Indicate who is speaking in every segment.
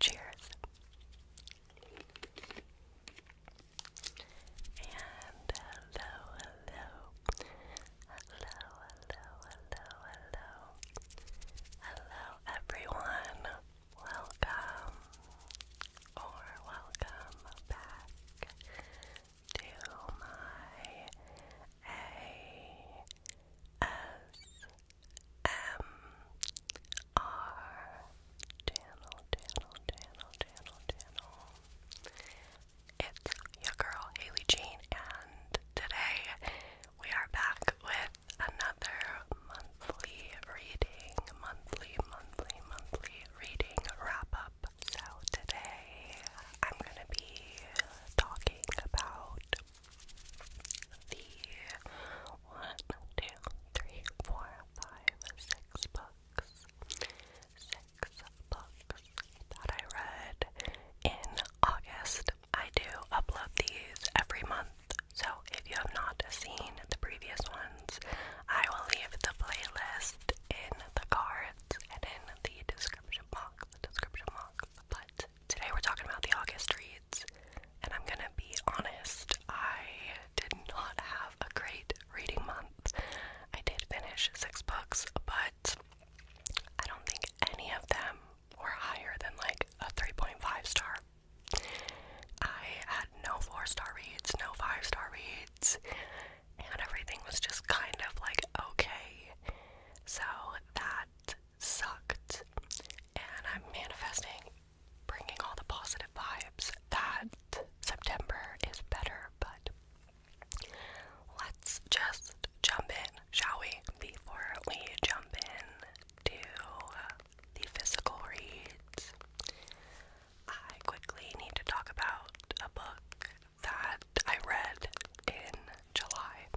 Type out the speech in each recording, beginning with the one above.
Speaker 1: Cheers. hello, hello, hello, hello, hello, hello, everyone. Welcome or welcome back to my ASMR channel, channel, channel, channel, channel. It's your girl Haley Jean, and today we are back with another monthly reading, monthly, monthly, monthly reading wrap up. So today I'm gonna be talking about the one, two, three, four, five, six books. Six books that I read in August. I do upload these every month, so if you have not seen the previous ones, I will leave the playlist in the cards and in the description box. The description box. But today we're talking about the August reads, and I'm gonna be honest, I did not have a great reading month. I did finish six books, but I don't think any of them were higher than like a 3.5 star. I had no four star reads, no five star reads and everything was just kind of like okay. So that sucked, and I'm manifesting bringing all the positive vibes that September is better, but let's just jump in, shall we? Before we jump in to the physical reads, I quickly need to talk about a book that I read in July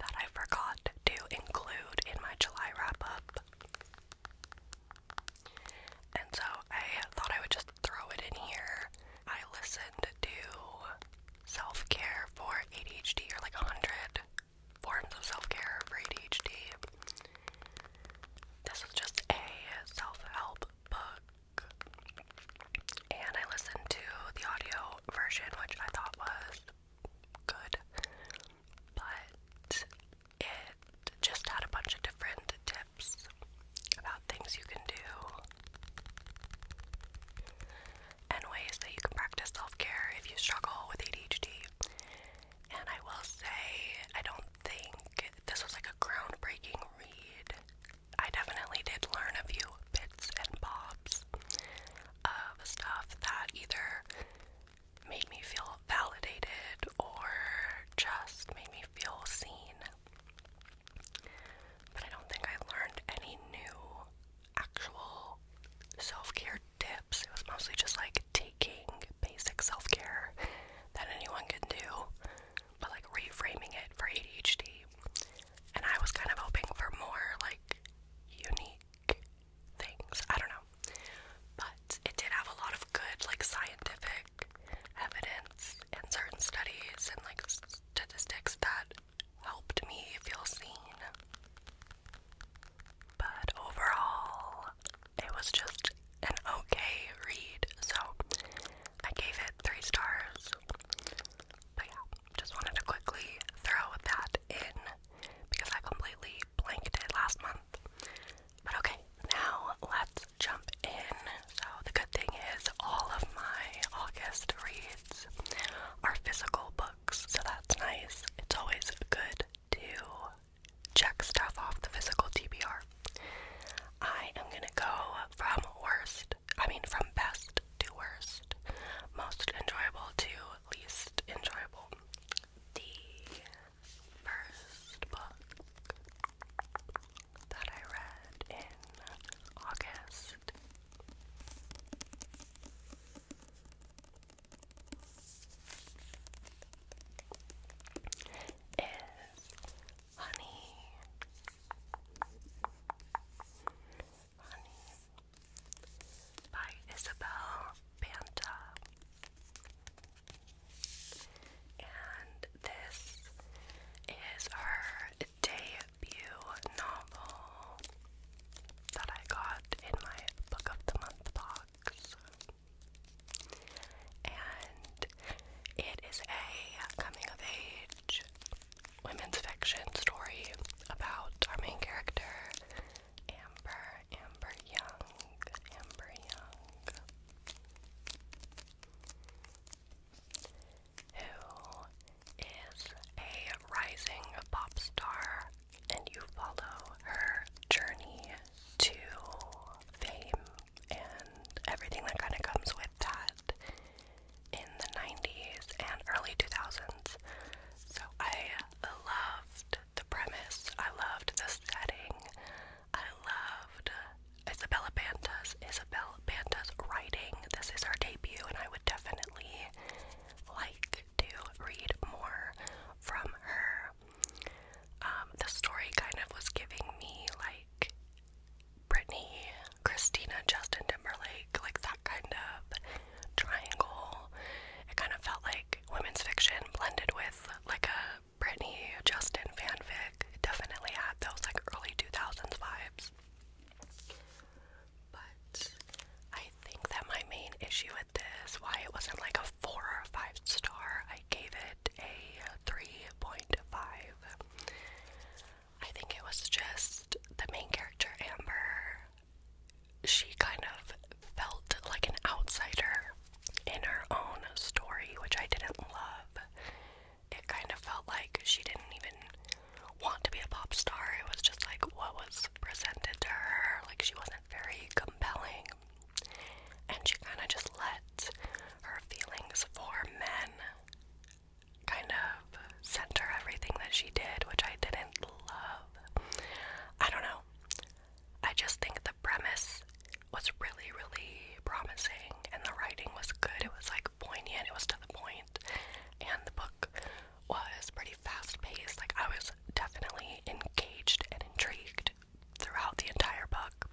Speaker 1: that I forgot to include in my July wrap up. And so I thought I would just throw it in here. I listened to self care for ADHD, or like 100 forms of self care for ADHD. This is just a self help book and I listened to the audio version, which I thought was good, but it just had a bunch of different tips about things you can do and ways that you can practice self care if you struggle with ADHD. And I will say, I don't think this was like a groundbreaking read. I definitely did learn a few bits and bobs of stuff that either made me feel validated or just made me feel seen. But I don't think I learned any new actual self care tips. It was mostly just like taking basic self care that anyone can do but like reframing it for ADHD. And I was kind of hoping for more like unique things. I don't know. But it did have a lot of good like scientific evidence and certain studies and like statistics that helped me feel seen. But overall, it was just an okay read, so I gave it three stars. But yeah, just wanted to quickly throw that in because I completely blanked it last month. But okay, now let's jump in. So the good thing is all of my August reads are physical books, so that's nice. It's always good to check stuff off the physical TBR I am gonna go from worst, I mean, from best to worst, most enjoyable to least enjoyable. The first book that I read in August is honey, honey, by Isabel Banta, and this is her debut novel that I got in my book of the month box and it is a coming of age women's fiction story about our main character, Amber, Amber Young, Amber Young, who is a rising pop star, and you follow her journey to fame and everything that kind of comes with that in the 90s and early 2000s. So I loved the premise, I loved the setting, I loved Isabella Banta's, Isabella Banta's writing. This is her debut, and I would definitely like to read more from her. Um, the story kind of was giving me like Britney, Christina, Justin Timberlake, like that kind of triangle. It kind of felt like women's fiction blended with like a Britney, Justin fanfic. It definitely had those like early 2000s vibes. But I think that my main issue with this, why it wasn't like a four or five star, I gave it a 3.5. I think it was just the main character, Amber. She kind of felt like an outsider in her own story, which I didn't love. It kind of felt like she didn't even want to be a pop star. It was just like what was presented to her. Like she wasn't very compelling. And she kind of just let her feelings for men kind of center everything that she did, which I didn't love. I don't know. I just think the premise was really, really promising, and the writing was good. It was like poignant, it was to the point, and the book was pretty fast paced. Like, I was definitely engaged and intrigued throughout the entire book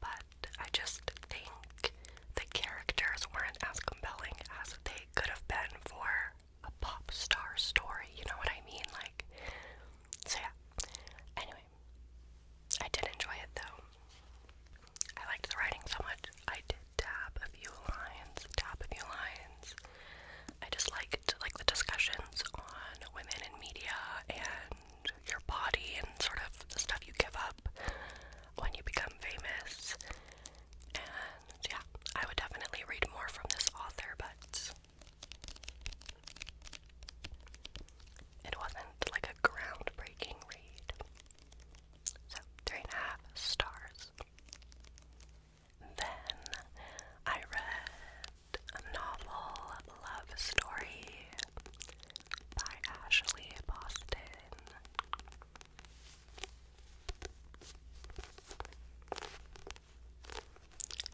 Speaker 1: but I just think the characters weren't as compelling as they could have been for a pop star story, you know what I mean? Like, so yeah. Anyway, I did enjoy it though. I liked the writing so much. I did tap a few lines, dab a few lines. I just liked like the discussions on women in media and your body and sort of the stuff you give up when you become famous. And yeah, I would definitely read more from this author, but it wasn't like a groundbreaking read. So, three and a half stars. Then I read a novel, Love Story by Ashley Boston.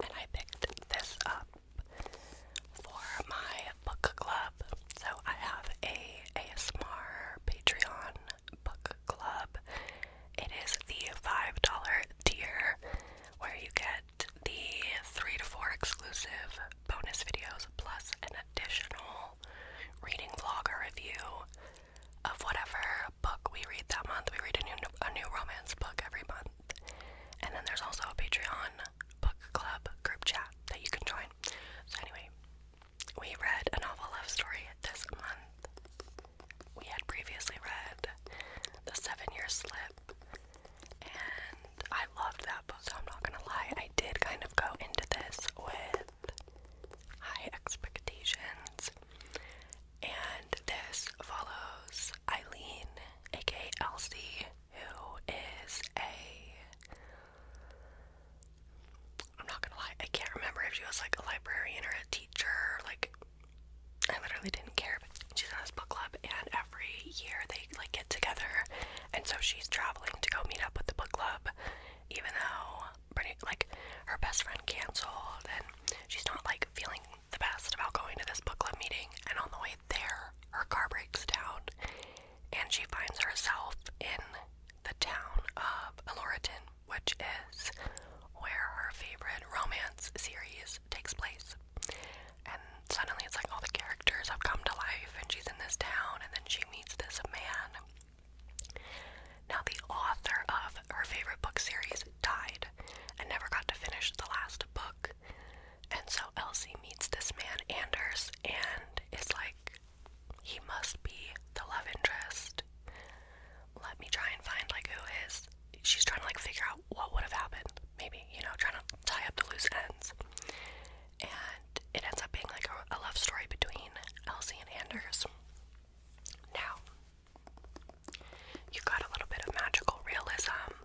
Speaker 1: And I picked this up for my book club. So I have a ASMR Patreon book club. It is the $5 tier where you get the three to four exclusive bonus videos plus an additional reading vlogger review of whatever book we read that month. We read a new a new romance book every month. And then there's also a Patreon book club group chat that you can join. So anyway, we read a novel love story this month. We had previously read The Seven Year Slip and I loved that book, so I'm not gonna lie, I did kind of go into this with high expectations. And this follows Eileen, aka Elsie, who is a. I'm not gonna lie, I can't remember if she was like a librarian or a teacher, like. I literally didn't care, she's in this book club, and every year they like get together and so she's traveling to go meet up with the book club, even though pretty like her best friend canceled, and she's not like feeling the best about going to this book club meeting. And on the way there, her car breaks down, and she finds herself in the town of Eloriton, which is where her favorite romance series takes place. And suddenly it's like all the characters have come to life, and she's in this town, and then she meets this man. Now, the author of her favorite book series died and never got to finish the last book. And so Elsie meets this man, Anders, and it's like, he must be the love interest. Let me try and find like who is. She's trying to like figure out what would have happened, maybe, you know, trying to tie up the loose ends and it ends up being like a, love story between Elsie and Anders. Now, you've got a little bit of magical realism.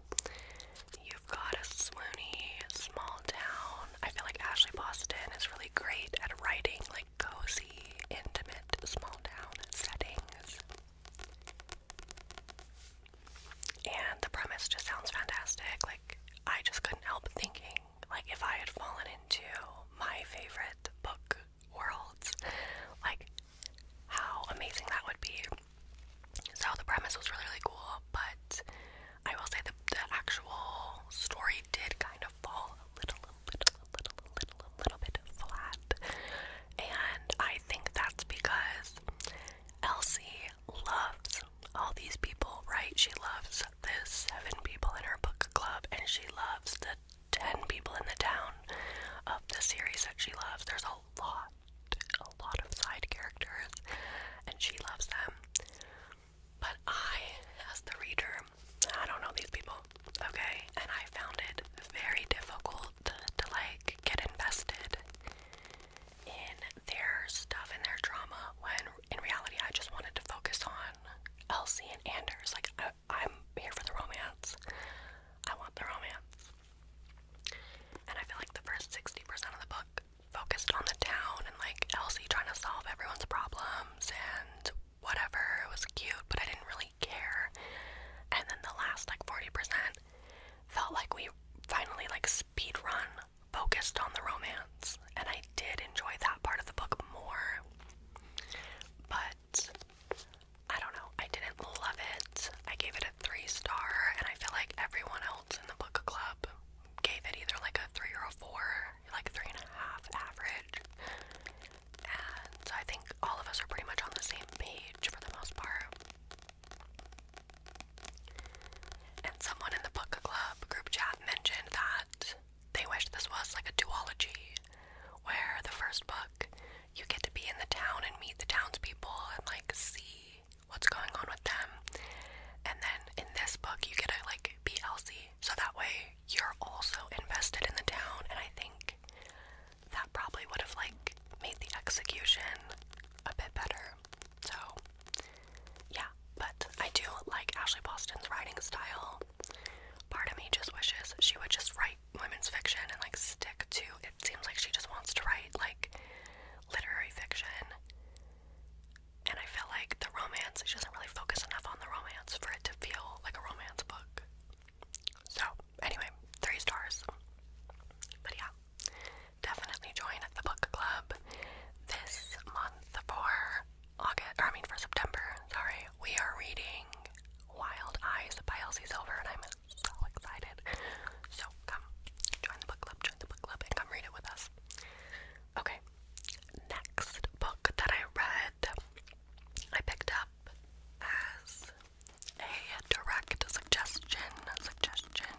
Speaker 1: You've got a swoony small town. I feel like Ashley Boston is really great at writing like cozy, intimate, small town settings. And the premise just sounds fantastic. Like, I just couldn't help thinking, like, if I had fallen into my favorite book worlds, like, how amazing that would be. So, the premise was really, really cool, but I will say that the actual story did kind of fall a little, a little, a little, a little, a little bit flat. And I think that's because Elsie loves all these people, right? She loves the seven people in her book club, and she loves the ten people in the town of the series that she loves. There's a lot, a lot of side characters, and she loves them. But I, as the reader, I don't know these people, okay? And I found it very difficult to like get invested in their stuff and their drama when in reality I just wanted to focus on Elsie and Anders. Like, I, I'm here for the romance. I want the romance. And I feel like the first 60% of the book focused on the town and like Elsie trying to solve everyone's problems and whatever. It was cute, but I didn't really care. And then the last like 40% felt like we finally like speed run focused on the romance, and I did enjoy that part of the book more. But I don't know, I didn't love it. I gave it a three star, and I feel like everyone else in the book club gave it either like a three or a four, like three and a half average. And I think all of us are pretty much on the same page for the most part. And someone in the book club group chat mentioned that they wish this was like a duology where the first book you get to be in the town and meet the townspeople and like see what's going on with them. And then in this book you get to like be Elsie. So that way you're also invested in the town and I think that probably would have like made the execution a bit better. So, yeah, but I do like Ashley Boston's writing style. Part of me just wishes she would just write women's fiction and like stick to it. Seems like she just wants to write like literary fiction. And I feel like the romance, she doesn't really focus enough on the romance for it to feel like a romance book. So, anyway, three stars. yeah, definitely join the book club this month for August, I mean for September, sorry. We are reading Wild Eyes by Elsie Silver, and I'm so excited. So come join the book club, join the book club, and come read it with us. Okay, next book that I read, I picked up as a direct suggestion, suggestion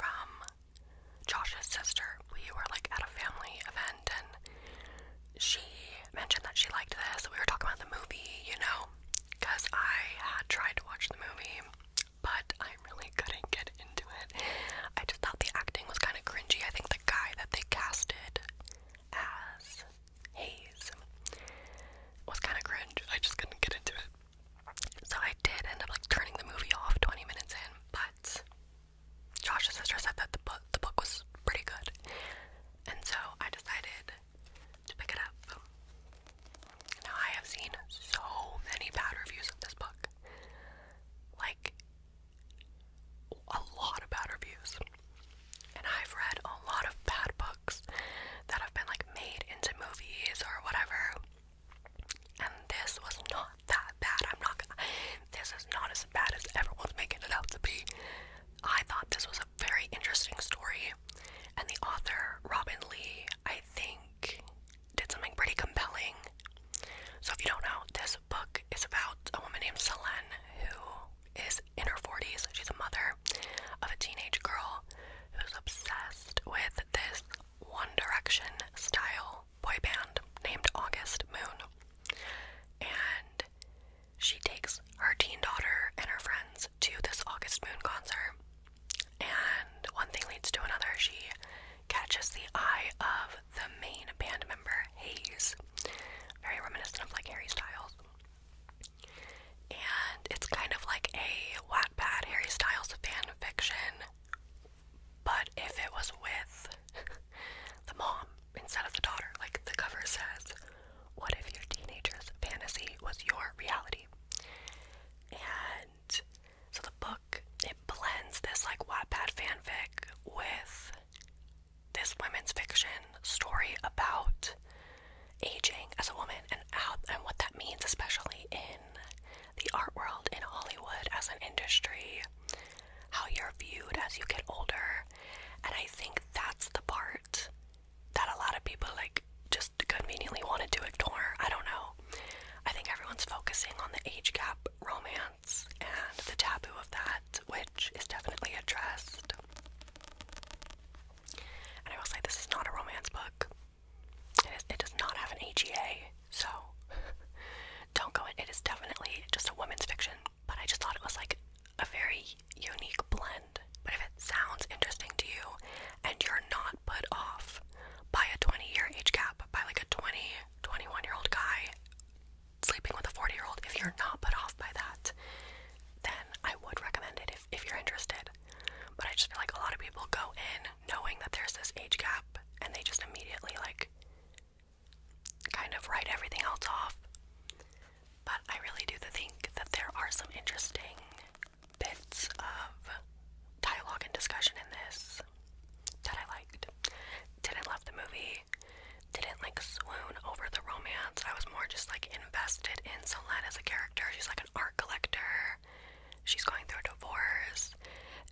Speaker 1: from Josh's sister. We were like at a family event and she mentioned that she liked this. We were talking about the movie, you know, because I had tried to watch the movie, but I really couldn't get into it. I just thought the acting was kind of cringy. I think the guy that they casted as Hayes was kind of cringe. I just couldn't get into it. So I did end up like turning the movie off 20 minutes in, but Josh's sister said that the book the book was pretty good. And so I decided to pick it up. Now I have seen so many bad reviews of this book. Like a lot of bad reviews. And I've read a lot of bad books that have been like made into movies or whatever. And this was not that bad. I'm not gonna. This is not as bad as everyone's making it out to be. I thought this was a very interesting story, and the author, Robin Lee, I think, did something pretty compelling. So, if you don't know, this book is about a woman named Selene who is in her 40s. She's a mother of a teenage girl who's obsessed with this one Direction style boy band named August Moon. And she takes her teen daughter and her friends to this August Moon concert. And one thing leads to another. She catches the eye of the main band member, Hayes. Very reminiscent of like Harry Styles. And it's kind of like a Wattpad Harry Styles fan fiction but if it was with the mom instead of the daughter, like the cover says, what if your teenager's fantasy was your reality? And so the book it blends this like Wattpad fanfic with this women's fiction story about aging as a woman and how and what that means, especially in the art world in Hollywood as an industry, how you're viewed as you get older, and I think that's the part that a lot of people like just conveniently wanted to ignore. I don't know. I think everyone's focusing on the age gap romance and the taboo of that, which is definitely addressed. And I will say, this is not a romance book it does not have an AGA, so don't go in. It is definitely just a woman's fiction, but I just thought it was like a very unique blend. But if it sounds interesting to you and you're not put off by a 20 year age gap, by like a 20, 21 year old guy sleeping with a 40 year old, if you're not put off by that, then I would recommend it if, if you're interested. But I just feel like a lot of people go in knowing that there's this age gap and they just immediately like kind of write everything else off. But I really do think that there are some interesting bits of dialogue and discussion in this that I liked. Didn't love the movie, didn't like swoon over the romance. I was more just like invested in Solène as a character. She's like an art collector. She's going through a divorce,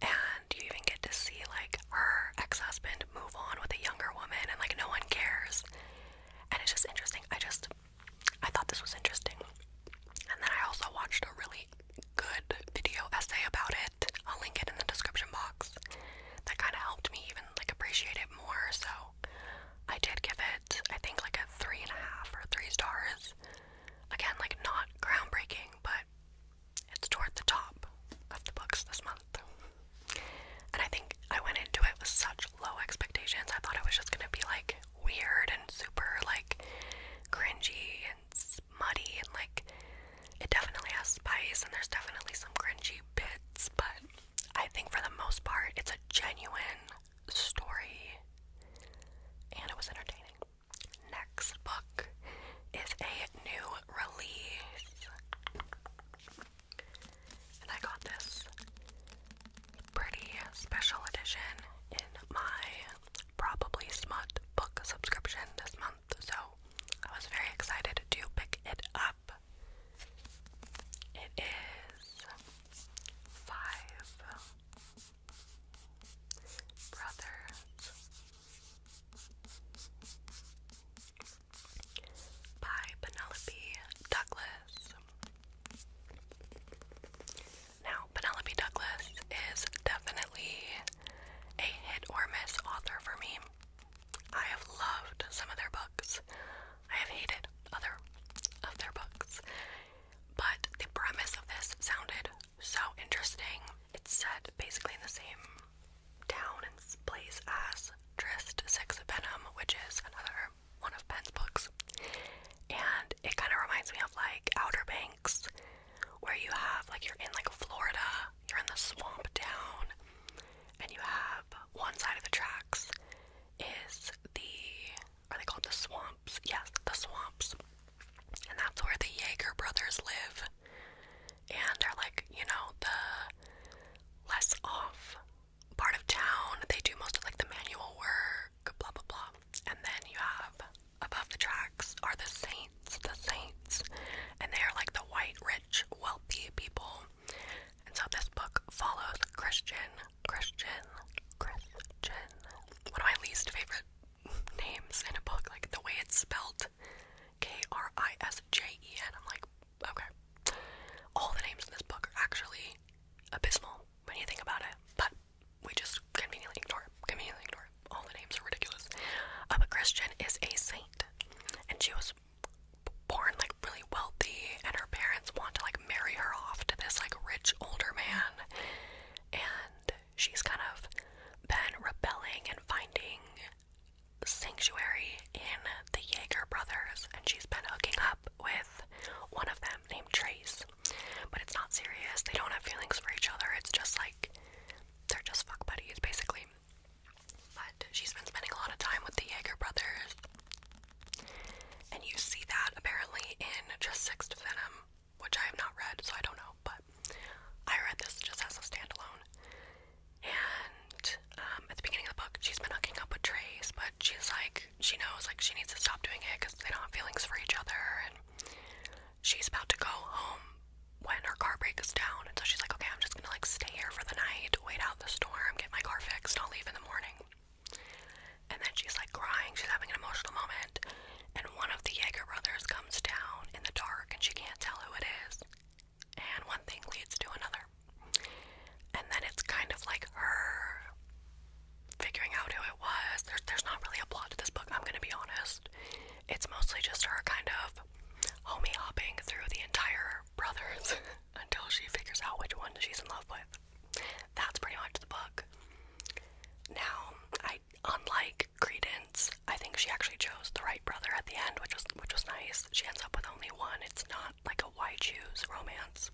Speaker 1: and you even get to see like her ex husband move on with a younger woman, and like no one cares. And it's just interesting. I just, I thought this was interesting. And then I also watched a really good video essay about it. I'll link it in the description box. That kind of helped me even like appreciate it more. So I did give it, I think, like a three and a half or three stars. Again, like not groundbreaking, but it's toward the top of the books this month. And I think I went into it with such low expectations. I thought it was just gonna be like weird and super like cringy and muddy and like it definitely has spice and there's definitely some cringy bits, but I think for the most part it's a genuine story and it was entertaining. Next book is a new release. And I got this pretty special edition in my probably smut book subscription this month, so I was very excited to pick it up. It is five Brothers by Penelope Douglas. Now, Penelope Douglas is definitely a hit or miss author for me. I have loved some of their books. I have hated other of their books. But the premise of this sounded so interesting. It's set basically in the same town and place as Trist Six of Venom, which is another one of Penn's books. And it kind of reminds me of like Outer Banks, where you have like you're in like Florida, you're in the swamp down, and you have one side of the tracks is the are they called the swamps? Yes, the swamps. And that's where the Jaeger brothers live. And they're like, you know, the less off part of town. They do most of like the manual work, blah, blah, blah. And then you have above the tracks are the saints, the saints. And they are like the white, rich, wealthy people. And so this book follows Christian, Christian, Christian, one of my least favorite names in a book, like the way it's spelled K R I S J E N. I'm like, okay. All the names in this book are actually abysmal when you think about it, but we just conveniently ignore it. Conveniently ignore it. All the names are ridiculous. Uh, but Christian is a saint, and she was born like really wealthy, and her parents want to like marry her off to this like rich older man, and she's kind of been rebelling and finding sanctuary in the Jaeger brothers, and she's been hooking up with one of them named Trace. But it's not serious, they don't have feelings for each other, it's just like they're just fuck buddies basically. But she's been spending a lot of time with the Jaeger brothers, and you see that apparently in just Sixth Venom which I have not read, so I don't know, but I read this just as a standalone. And um, at the beginning of the book, she's been hooking up with Trace, but she's like, she knows like she needs to stop doing it because they don't have feelings for each other, and she's about to go home when her car breaks down, and so she's like, okay, I'm just gonna like stay here for the night, wait out the storm, get my car fixed, and I'll leave in the morning. And then she's like crying, she's having an emotional moment, and one of the Yeager brothers comes down in the dark and she can't tell who it is. And one thing leads to another. And then it's kind of like her figuring out who it was. There's, there's not really a plot to this book, I'm gonna be honest. It's mostly just her kind of homie hopping through the entire brothers until she figures out which one she's in love with. That's pretty much the book. Now, I unlike credence. I think she actually chose the right brother at the end, which was which was nice. She ends up with only one. It's not like a why choose romance.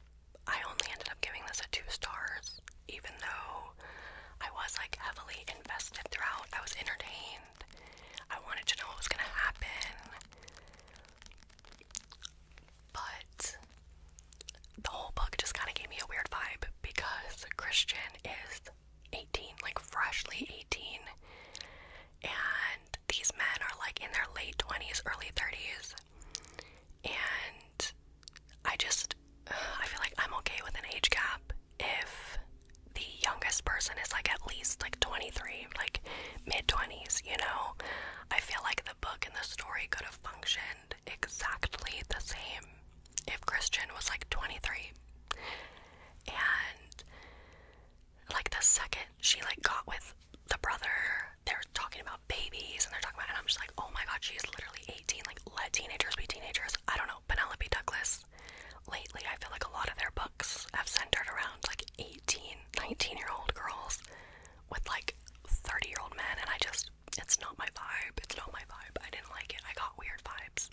Speaker 1: I only ended up giving this a two stars, even though I was like heavily invested throughout. I was entertained. I wanted to know what was gonna happen. But the whole book just kind of gave me a weird vibe because Christian is 18, like freshly 18. And these men are like in their late 20s, early 30s. And I just, I feel like I'm okay with an age gap if the youngest person is like at least like 23, like mid 20s, you know? I feel like the book and the story could have functioned exactly the same if Christian was like 23. And like the second she like got with the brother, they're talking about babies and they're talking about and I'm just like, "Oh my god, she's literally 18. Like let teenagers be teenagers." I don't know. Penelope Douglas lately, I feel like a lot of their books have centered around like 18, 19-year-old girls with like 30-year-old men and I just it's not my vibe. It's not my vibe. I didn't like it. I got weird vibes.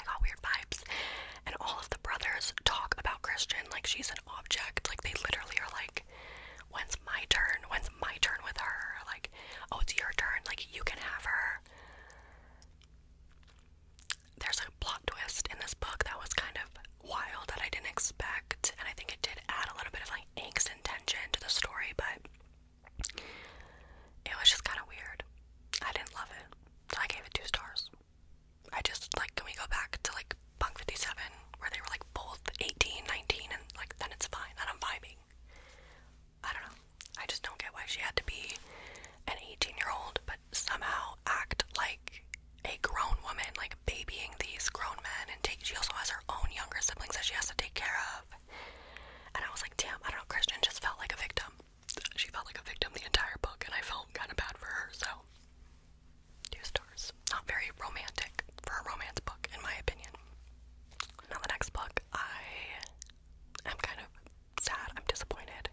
Speaker 1: I got weird vibes. And all of the brothers talk about Christian like she's an object. Like they literally are like, when's my turn? When's my turn with her? Like, oh, it's your turn. Like, you can have her. There's a plot twist in this book that was kind of wild that I didn't expect. And I think it did add a little bit of like angst and tension to the story, but it was just kind of weird. I didn't love it, so I gave it two stars. I just like can we go back to like Punk 57 where they were like both 18, 19, and like then it's fine. Then I'm vibing. I don't know. I just don't get why she had to be an 18 year old, but somehow act like a grown woman, like babying these grown men, and take. She also has her own younger siblings that she has to take care of. And I was like, damn, I don't know. Christian just felt like a victim she felt like a victim the entire book, and I felt kind of bad for her, so. Two stars. Not very romantic for a romance book, in my opinion. Now, the next book, I am kind of sad, I'm disappointed.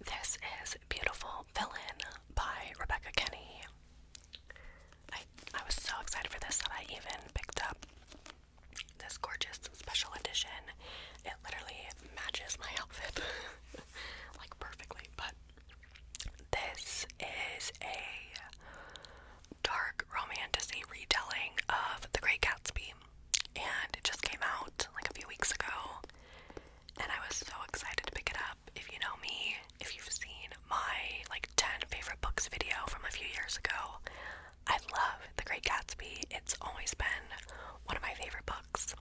Speaker 1: This is Beautiful Villain by Rebecca Kenny. I, I was so excited for this that I even picked up this gorgeous special edition. It literally matches my outfit like perfectly, but this is a dark romanticy retelling of The Great Gatsby, and it just came out like a few weeks ago, and I was so excited to pick it up. If you know me, if you've seen my like 10 favorite books video from a few years ago, I love The Great Gatsby. It's always been one of my favorite books.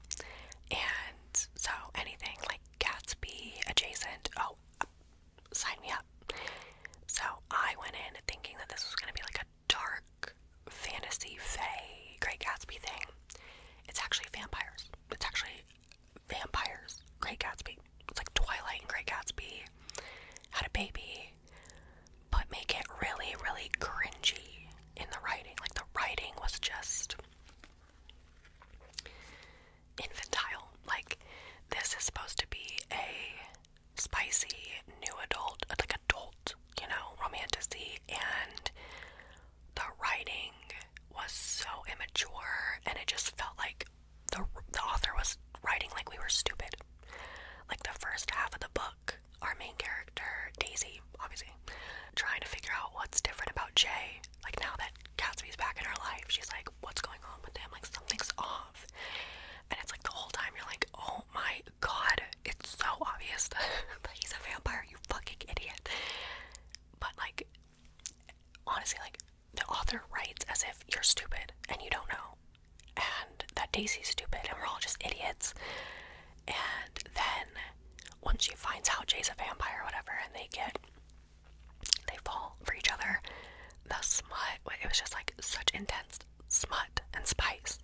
Speaker 1: And so anything like Gatsby adjacent, oh, sign me up. So I went in thinking that this was going to be like a dark fantasy fae Great Gatsby thing. It's actually vampires. It's actually vampires. Great Gatsby. It's like Twilight and Great Gatsby had a baby but make it really, really cringy in the writing. Like the writing was just infantile. Like this is supposed to be a spicy new adult, like adult, you know, romancey, and the writing was so immature, and it just felt like the the author was writing like we were stupid. Like the first half of the book our main character, Daisy, obviously, trying to figure out what's different about Jay. Like, now that Gatsby's back in her life, she's like, what's going on with him? Like, something's off. And it's like the whole time you're like, oh my god, it's so obvious that he's a vampire, you fucking idiot. But, like, honestly, like, the author writes as if you're stupid and you don't know and that Daisy's stupid and we're all just idiots. And then once she finds out Jay's a vampire or whatever, and they get they fall for each other, the smut it was just like such intense smut and spice.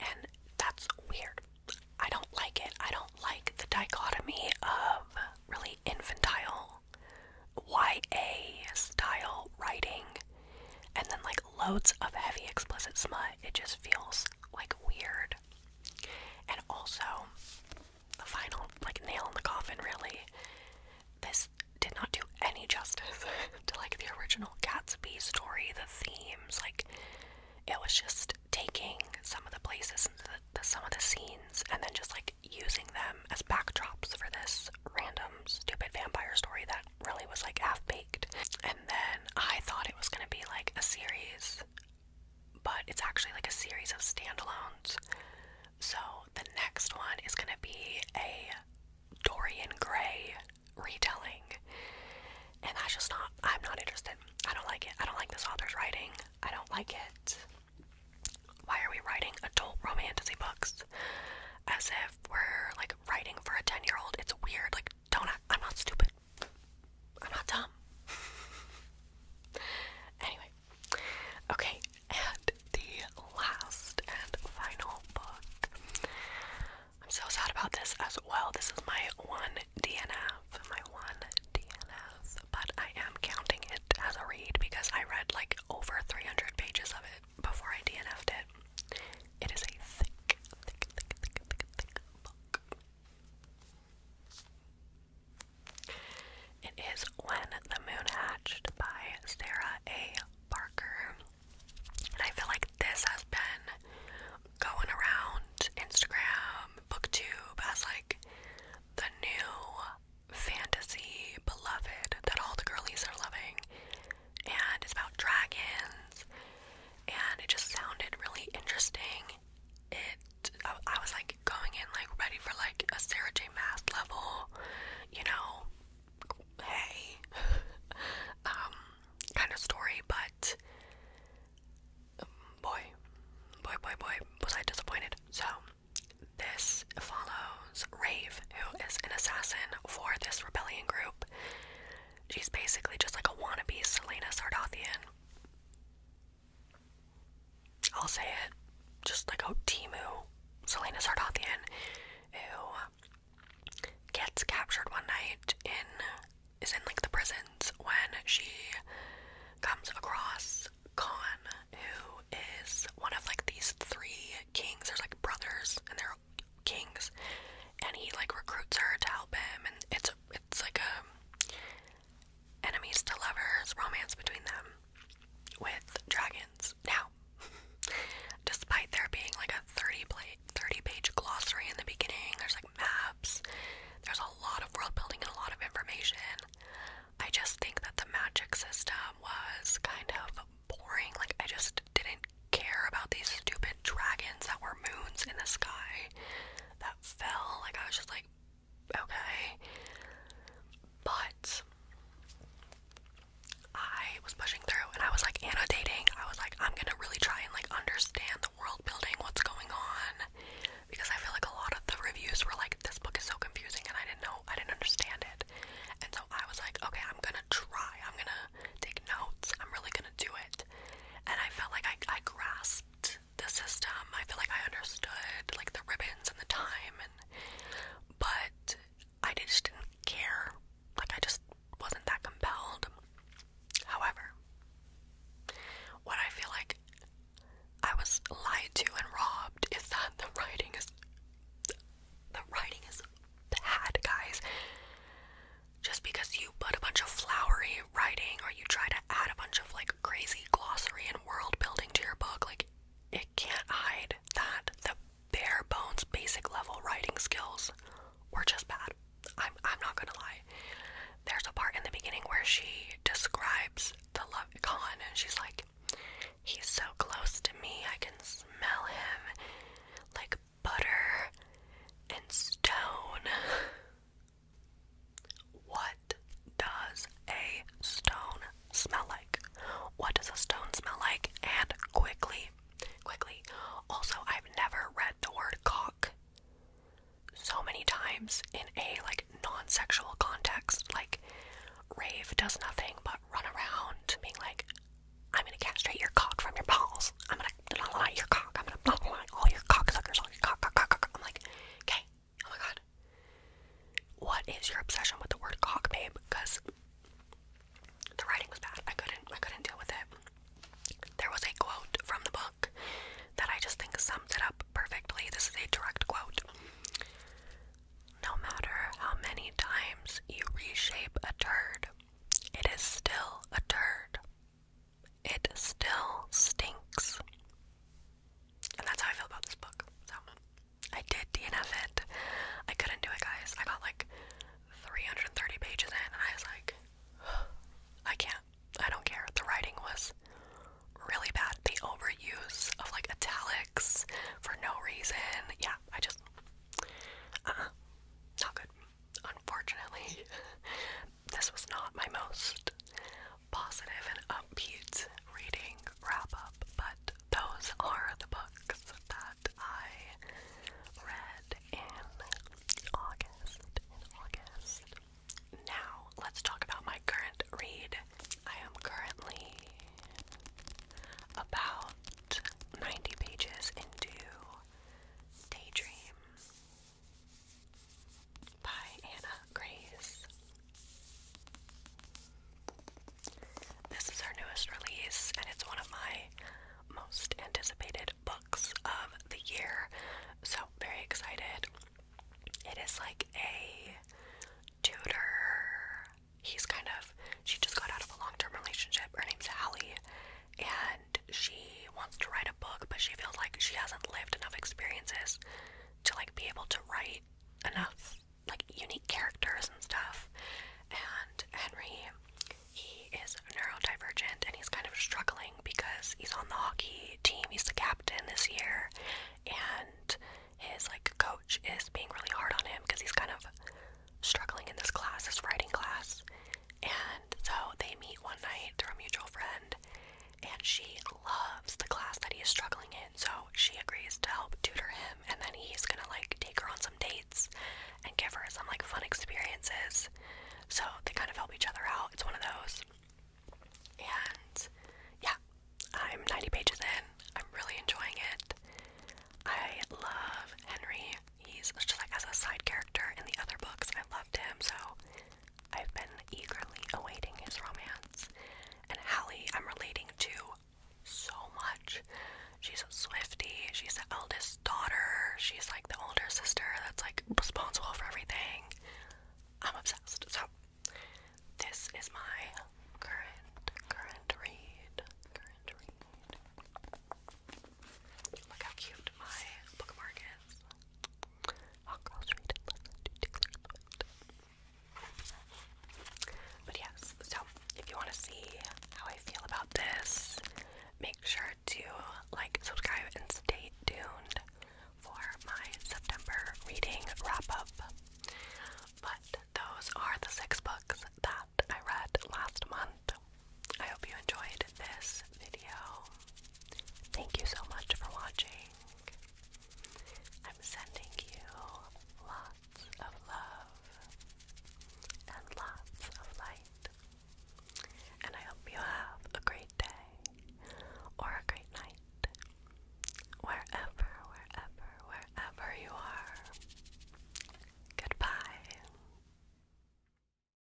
Speaker 1: And that's weird. I don't like it. I don't like the dichotomy of really infantile YA style writing and then like loads of heavy explicit smut. It just feels like weird. And also, the final like nail in the coffin really. This did not do any justice to like the original Gatsby story, the themes, like it was just taking some of the places and some of the scenes and then just like using them as backdrops for this random stupid vampire story that really was like half baked. And then I thought it was gonna be like a series, but it's actually like a series of standalones. So the next one is gonna be a Dorian Gray retelling. And that's just not, I'm not interested. I don't like it. I don't like this author's writing. I don't like it. Why are we writing adult romancey books as if we're like writing for a 10 year old? It's weird. Like, do I? I'm not stupid. I'm not dumb. anyway, okay, and the last and final book. I'm so sad about this as well. This is my one DNF, my one DNF, but I am counting it as a read because I read like over 300 pages of it before I DNF'd it. It is a thick, thick, thick, thick, thick, thick book. It is When the Moon Hatched by Sarah A. Barker. And I feel like this has been going around Instagram, BookTube as like the new fantasy beloved that all the girlies are loving and it's about dragons, and it just sounded really interesting. It, I, was like going in like ready for like a Sarah J. Mass level, you know, hey, um, kind of story, but boy, boy, boy, boy, was I disappointed. So, this follows Rave, who is an assassin for this rebellion group. She's basically just like a wannabe Selena Sardathian. I'll say it. Just like oh Timu, Selena Sardathian, who gets captured one night in is in like the prisons when she comes across Khan, who is one of like these three kings. There's like brothers, and they're kings, and he like recruits her to help him, and it's it's like a enemies to lovers romance between them with dragons. Now, despite there being like a thirty plate, thirty page glossary in the beginning, there's like maps, there's a lot of world building and a lot of information. I just think that the magic system was kind of boring. Like I just didn't care about these stupid dragons that were moons in the sky that fell. Like, I was just like, okay. But I was pushing through and I was like annotating. I was like, I'm gonna really try and like understand the world building, what's going on. Because I feel like a lot of the reviews were like, this book is so confusing and I didn't know, I didn't understand it. And so I was like, okay, I'm gonna try. I'm gonna take notes. I'm really gonna do it. And I felt like I, I grasped the system. I felt like I understood like the ribbons and the time and but I just didn't care. Like I just wasn't that compelled. However, what I feel like I was lied to and robbed is that the writing is the writing is bad, guys just because you put a bunch of flowery writing or you try to add a bunch of like crazy glossary and world building to your book, like it can't hide that the bare bones basic level writing skills were just bad. I'm I'm not gonna lie. There's a part in the beginning where she describes the love con and she's like, He's so close to me, I can smell him. Like butter and stone. What does a stone smell like? What does a stone smell like? And quickly, quickly. Also, I've never read the word cock so many times in a like non-sexual context. Like rave does nothing but run around being like I'm gonna castrate your cock from your balls. I'm gonna blah blah, blah your cock. I'm gonna blah blah, blah all your cocksuckers, all your cock, cock, cock, cock. I'm like, okay, oh my god. What is your obsession with the word cock, babe? Because the writing was bad. I couldn't I couldn't deal with it. There was a quote from the book that I just think sums it up perfectly. This is a direct quote. No matter how many times you reshape a turd, it is still a turd. It still stinks. And that's how I feel about this book. So I did DNF it. I couldn't do it, guys. I got like 330 pages in, and I was like, I can't. I don't care. The writing was really bad. The overuse of like italics for no reason. Yeah, I just, uh-uh. not good. Unfortunately, this was not my most positive and upbeat reading wrap up, but those are the books that I read in August. In August. Now, let's talk about my current read. I am currently about 90 pages into Daydream by Anna Grace. This is her newest release, and it's one of my most anticipated books of the year. So, very excited. It is like a tutor. He's kind of, she just got out of a long term relationship. Her name's Hallie, she wants to write a book, but she feels like she hasn't lived enough experiences to like be able to write enough like unique characters and stuff. And Henry, he is neurodivergent and he's kind of struggling because he's on the hockey team. He's the captain this year, and his like coach is being really hard on him because he's kind of struggling in this class, his writing class. And so they meet one night through a mutual friend, and she loves the class that he is struggling in. So she agrees to help tutor him, and then he's gonna like take her on some dates and give her some like fun experiences. So they kind of help each other out. It's one of those. And yeah, I'm 90 pages in. I'm really enjoying it. I love Henry. He's just like as a side character in the other books. I loved him, so I've been eagerly awaiting his romance. And Hallie, I'm relating to so much. She's a she's the eldest daughter, she's like the older sister that's like responsible for everything. I'm obsessed. So this is my current current read. Current read. Look how cute my bookmark is. But yes, so if you want to see how I feel about this, make sure to like, subscribe, and stay tuned for my September reading wrap up. But those are the six books that I read last month. I hope you enjoyed this video. Thank you so much for watching. I'm sending you lots of love and lots of light. And I hope you have a great day or a great night. Wherever, wherever, wherever you are. Goodbye.